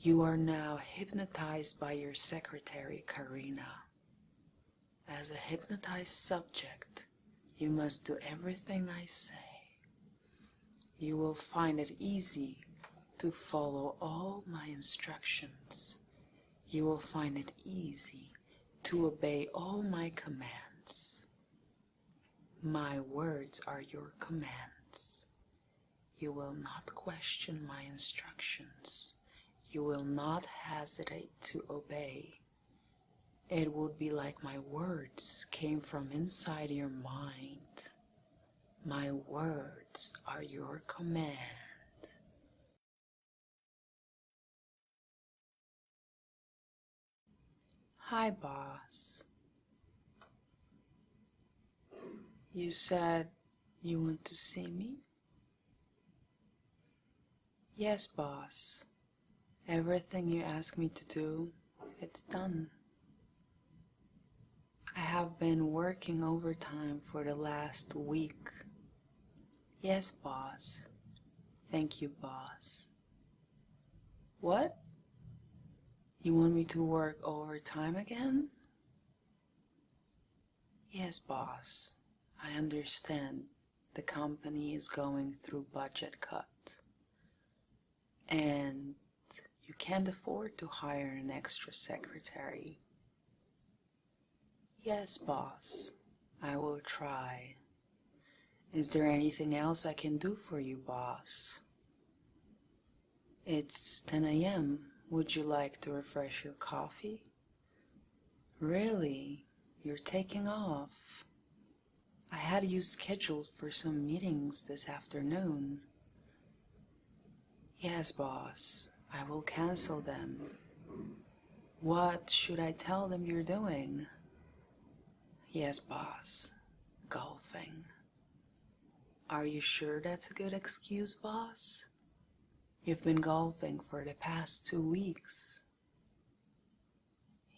You are now hypnotized by your secretary, Karina. As a hypnotized subject, you must do everything I say. You will find it easy to follow all my instructions. You will find it easy to obey all my commands. My words are your commands. You will not question my instructions. You will not hesitate to obey. It would be like my words came from inside your mind. My words are your command. Hi, boss. You said you want to see me? Yes, boss. Everything you ask me to do, it's done. I have been working overtime for the last week. Yes, boss. Thank you, boss. What? You want me to work overtime again? Yes, boss. I understand the company is going through budget cut. And you can't afford to hire an extra secretary. Yes, boss. I will try. Is there anything else I can do for you, boss? It's 10 a.m. Would you like to refresh your coffee? Really? You're taking off? I had you scheduled for some meetings this afternoon. Yes, boss, I will cancel them. What should I tell them you're doing? Yes, boss, golfing. Are you sure that's a good excuse, boss? You've been golfing for the past two weeks.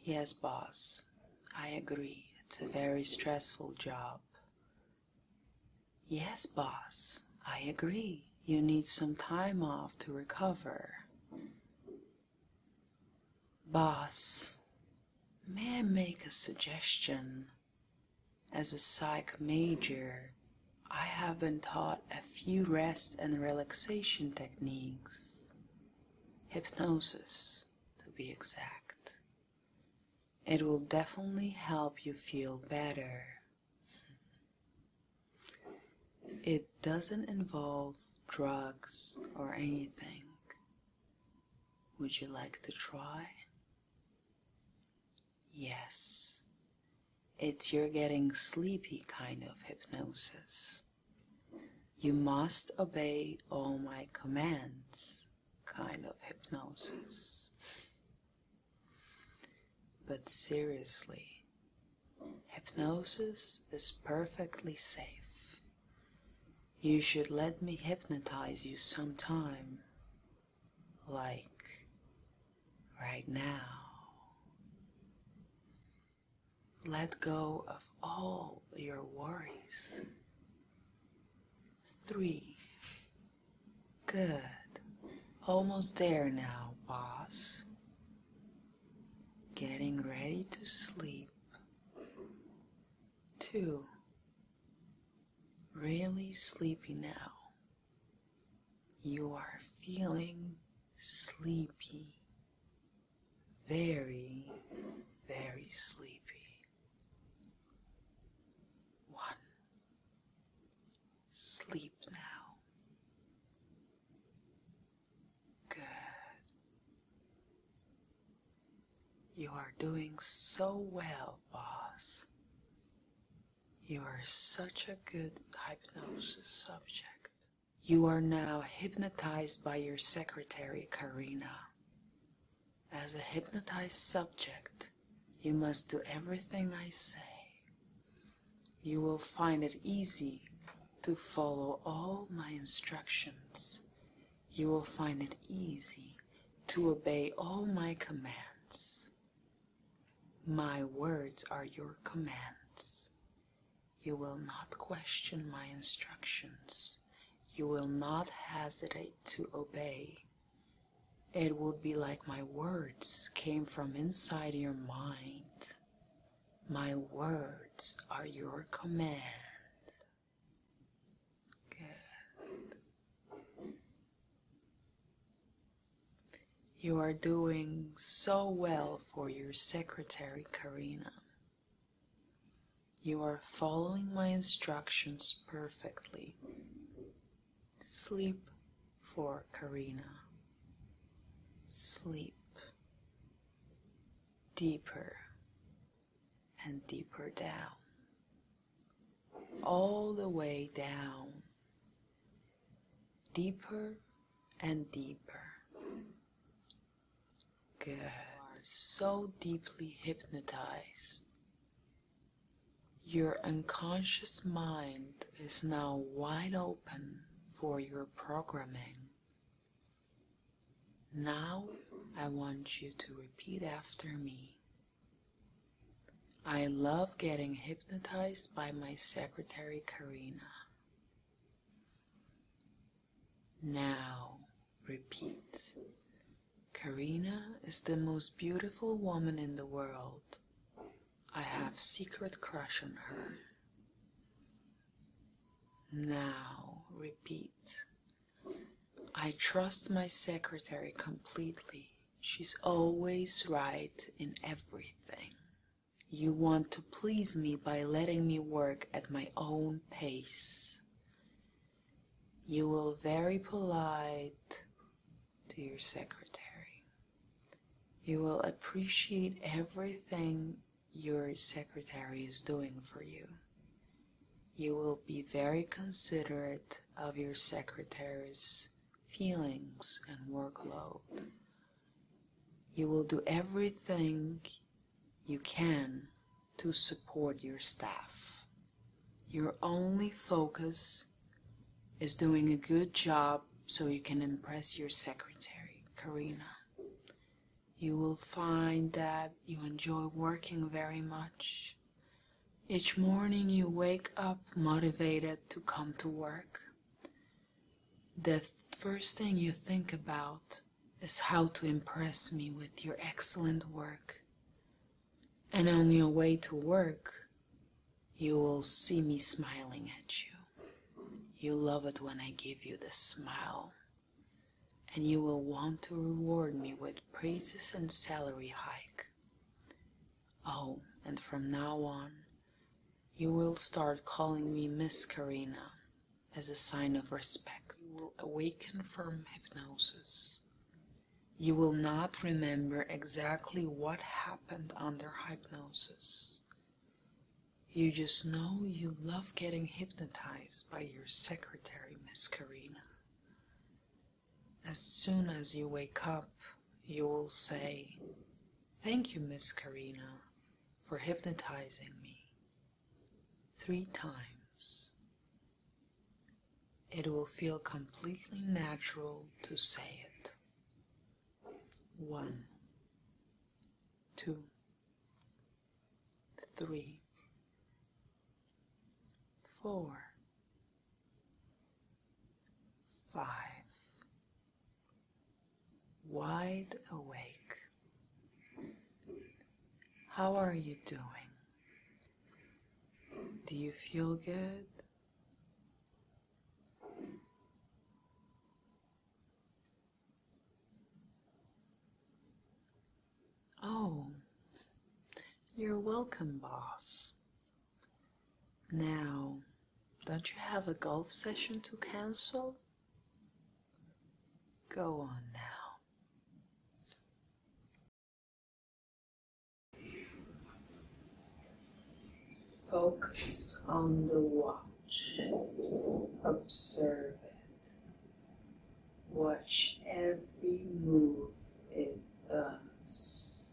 Yes, boss, I agree. It's a very stressful job. Yes, boss, I agree. You need some time off to recover. Boss, may I make a suggestion? As a psych major, I have been taught a few rest and relaxation techniques, hypnosis to be exact. It will definitely help you feel better. It doesn't involve drugs or anything. Would you like to try? Yes, it's your getting sleepy kind of hypnosis. You must obey all my commands kind of hypnosis. But seriously, hypnosis is perfectly safe. You should let me hypnotize you sometime like right now. Let go of all your worries. Three. Good. Almost there now, boss. Getting ready to sleep. 2. Really sleepy now. You are feeling sleepy. Very, very sleepy. 1. Sleep now. Good. You are doing so well, boss. You are such a good hypnosis subject. You are now hypnotized by your secretary, Karina. As a hypnotized subject, you must do everything I say. You will find it easy to follow all my instructions you will find it easy to obey all my commands. My words are your commands. You will not question my instructions. You will not hesitate to obey. It will be like my words came from inside your mind. My words are your command. Good. You are doing so well for your secretary, Karina. You are following my instructions perfectly. Sleep for Karina. Sleep deeper and deeper down, all the way down, deeper and deeper. Good. so deeply hypnotized. Your unconscious mind is now wide open for your programming. Now I want you to repeat after me. I love getting hypnotized by my secretary, Karina. Now, repeat. Karina is the most beautiful woman in the world. I have secret crush on her. Now, repeat. I trust my secretary completely. She's always right in everything. You want to please me by letting me work at my own pace. You will very polite to your secretary. You will appreciate everything your secretary is doing for you. You will be very considerate of your secretary's feelings and workload. You will do everything you can to support your staff. Your only focus is doing a good job so you can impress your secretary, Karina. You will find that you enjoy working very much each morning you wake up motivated to come to work. The first thing you think about is how to impress me with your excellent work. And on your way to work, you will see me smiling at you. You love it when I give you the smile. And you will want to reward me with praises and salary hike. Oh, and from now on, you will start calling me Miss Karina as a sign of respect. You will awaken from hypnosis. You will not remember exactly what happened under hypnosis. You just know you love getting hypnotized by your secretary, Miss Karina. As soon as you wake up, you will say, Thank you, Miss Karina, for hypnotizing me. Three times. It will feel completely natural to say it. One. Two. Three. Four five, wide awake. How are you doing? Do you feel good? Oh, you're welcome, boss. Now, don't you have a golf session to cancel? Go on now. Focus on the watch. Observe it. Watch every move it does.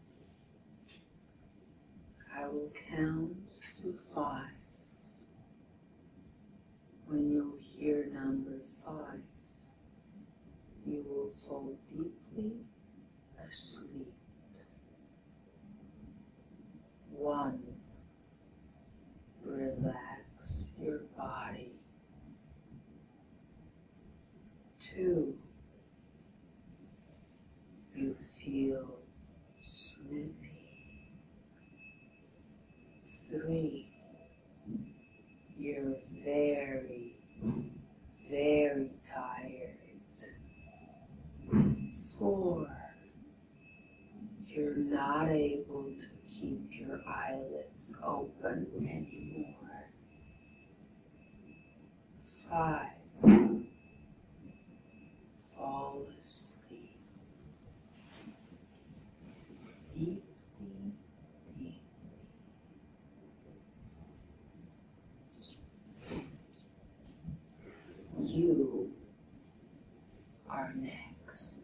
I will count to five. When you hear number five, you will fall deeply asleep. One, relax your body. Two, you feel sleepy. Three, you're very, very tired. Four, you're not able to keep your eyelids open anymore five. Fall asleep. Deeply, deeply. You are next.